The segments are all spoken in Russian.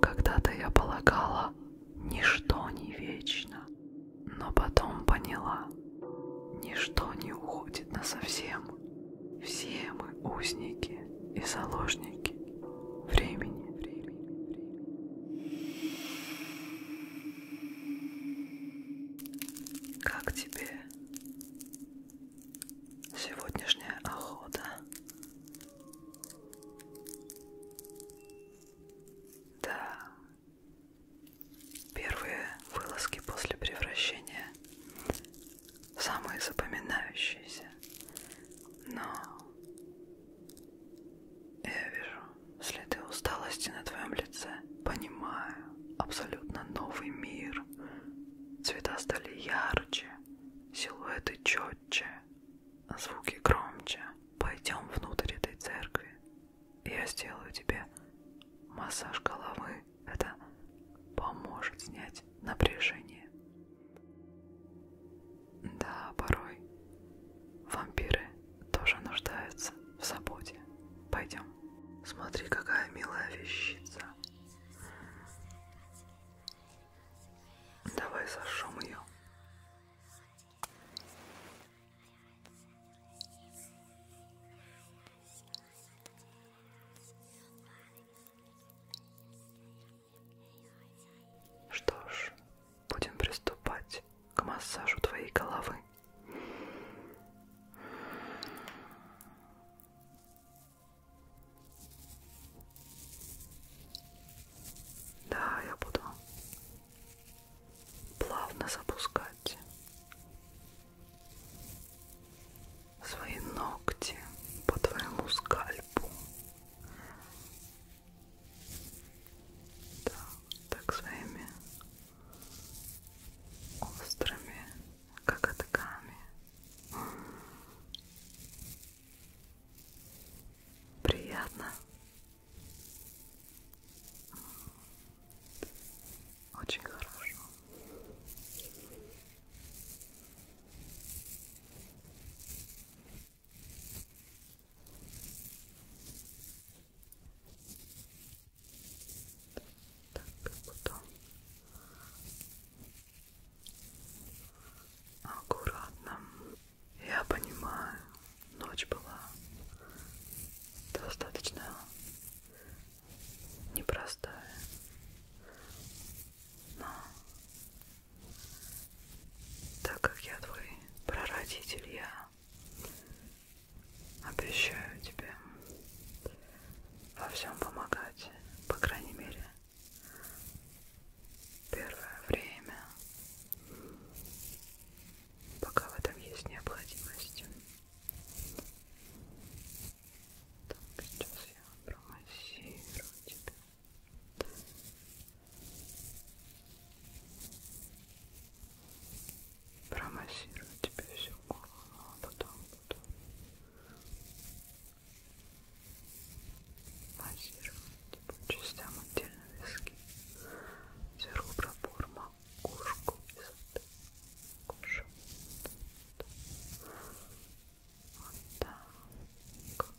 Когда-то я полагала, ничто не вечно, но потом поняла, ничто не уходит на совсем. Все мы узники и заложники времени. Как тебе сегодняшняя охота да. Первые вылазки после превращения самые запоминающиеся. Но я вижу следы усталости на твоем лице. Понимаю, абсолютно новый мир. Цвета стали ярче, силуэты четче, Звуки громче. Пойдем внутрь этой церкви. Я сделаю тебе массаж головы. Это поможет снять напряжение. Да, порой вампиры тоже нуждаются в заботе. Пойдем. Смотри, какая милая вещица. Давай зажжем ее. Что ж, будем приступать к массажу твоей головы. Да, я буду плавно запускать свои ногти по твоему скальпу. Да, так своими острыми, как атаками. Приятно. Очень хорошо. Так, потом аккуратно. Я понимаю, ночь была достаточно непростая, но так как я твой прародитель, я обещаю тебе во всем помогать, по крайней мере первое время, пока в этом есть необходимость. Так, сейчас я промассирую тебя. Промассирую тебе всю голову, а потом буду массировать по частям отдельно виски, сверху пробор макушку высоты, кожу, вот так. Хорошо.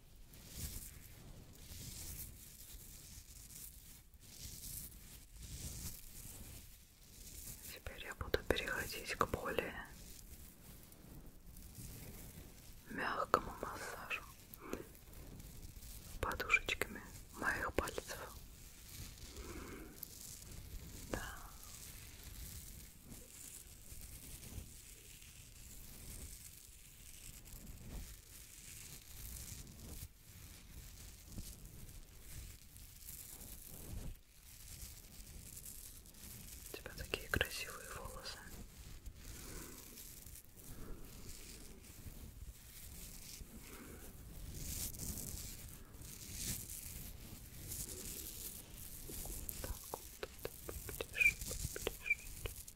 Теперь я буду переходить к более мягкому массажу подушечками моих пальцев. Да. У тебя такие красивые волосы. Так, вот, поближе, поближе.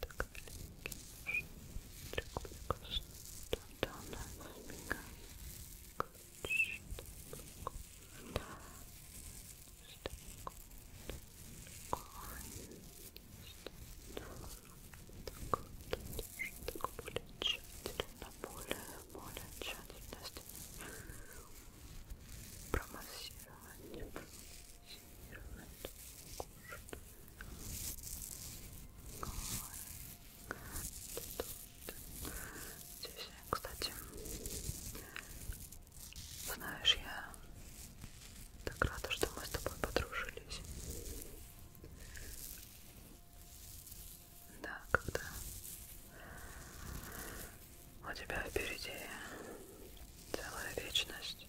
так маленький шарик прекрасно туда она сбегает так более тщательно, более, более тщательно промассировать Здесь, кстати, знаешь, я так рада, что мы с тобой подружились. Да, когда у тебя впереди целая вечность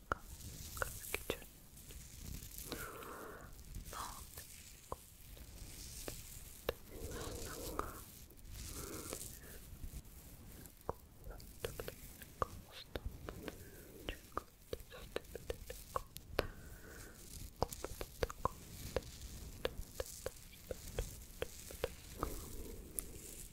краски черные. Ладно,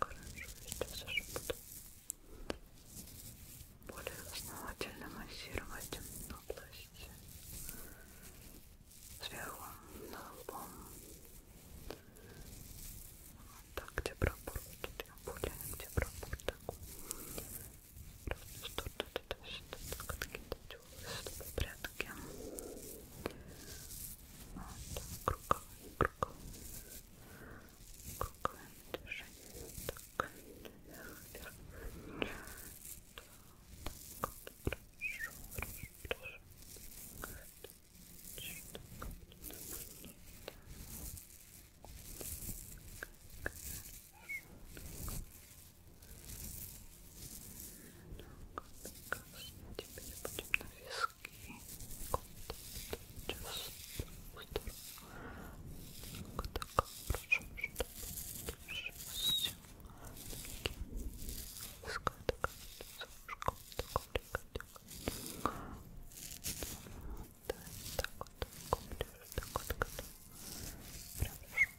Хорошо, сейчас уже буду более основательно массировать область сверху на лбом. Вот так, где пробор, тут я более, где пробор, так. Просто что-то, что-то, что-то, делать волосы в порядке. Вот, круговые, круговые, круговые движения. Так, вверх, вверх. Так, хорошо, хорошо, хорошо. Так, Так, теперь будем на виски. Сейчас вот так хорошо, чтобы все виска такая солнышко, да, так вот, так вот, так вот, так вот, прям хорошо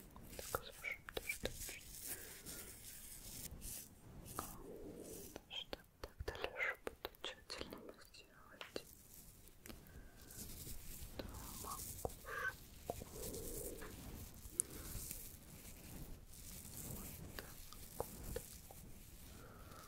Так, с вашим тоже точно. Что так дальше буду тщательно сделать. Да, макушку. Вот так, вот так. Так.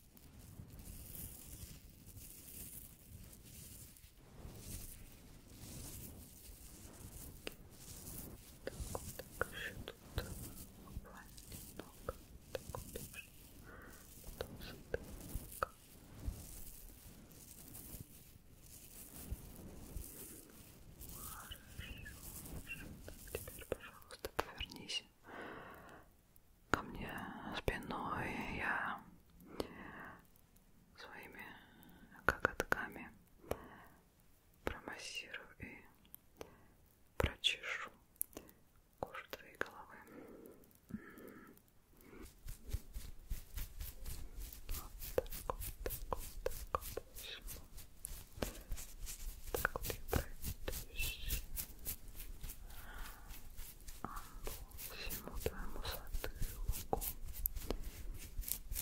Так, вот так еще тут буквально немного. Так вот тоже. Потом сюда. Хорошо. Так, теперь, пожалуйста, повернись ко мне спиной, я своими коготками промассирую и прочешу кожу твоей головы. Вот так вот, так вот, так вот. Так вот я пройдусь. Амбу всему твоему затылку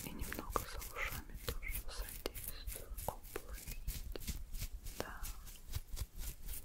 и немного за ушами тоже содействую уплотнить. Да. Хорошо.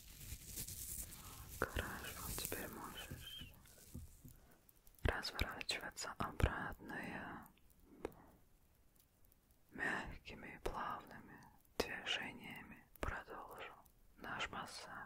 Хорошо, теперь можешь разворачиваться обратно и мягкими и плавными движениями продолжу наш массаж.